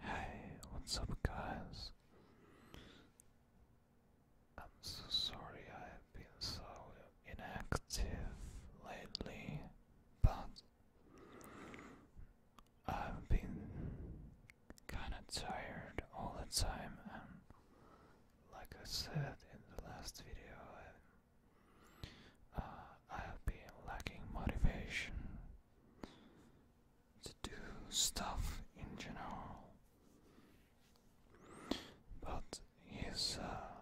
Hey, what's up, guys? I'm so sorry I've been so inactive lately, but I've been kinda tired all the time, and like I said in the last video, I, uh, I have been lacking motivation to do stuff in general, but it's uh,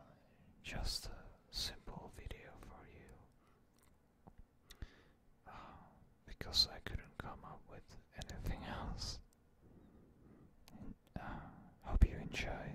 just a simple video for you uh, because I couldn't come up with anything else. Uh, hope you enjoy.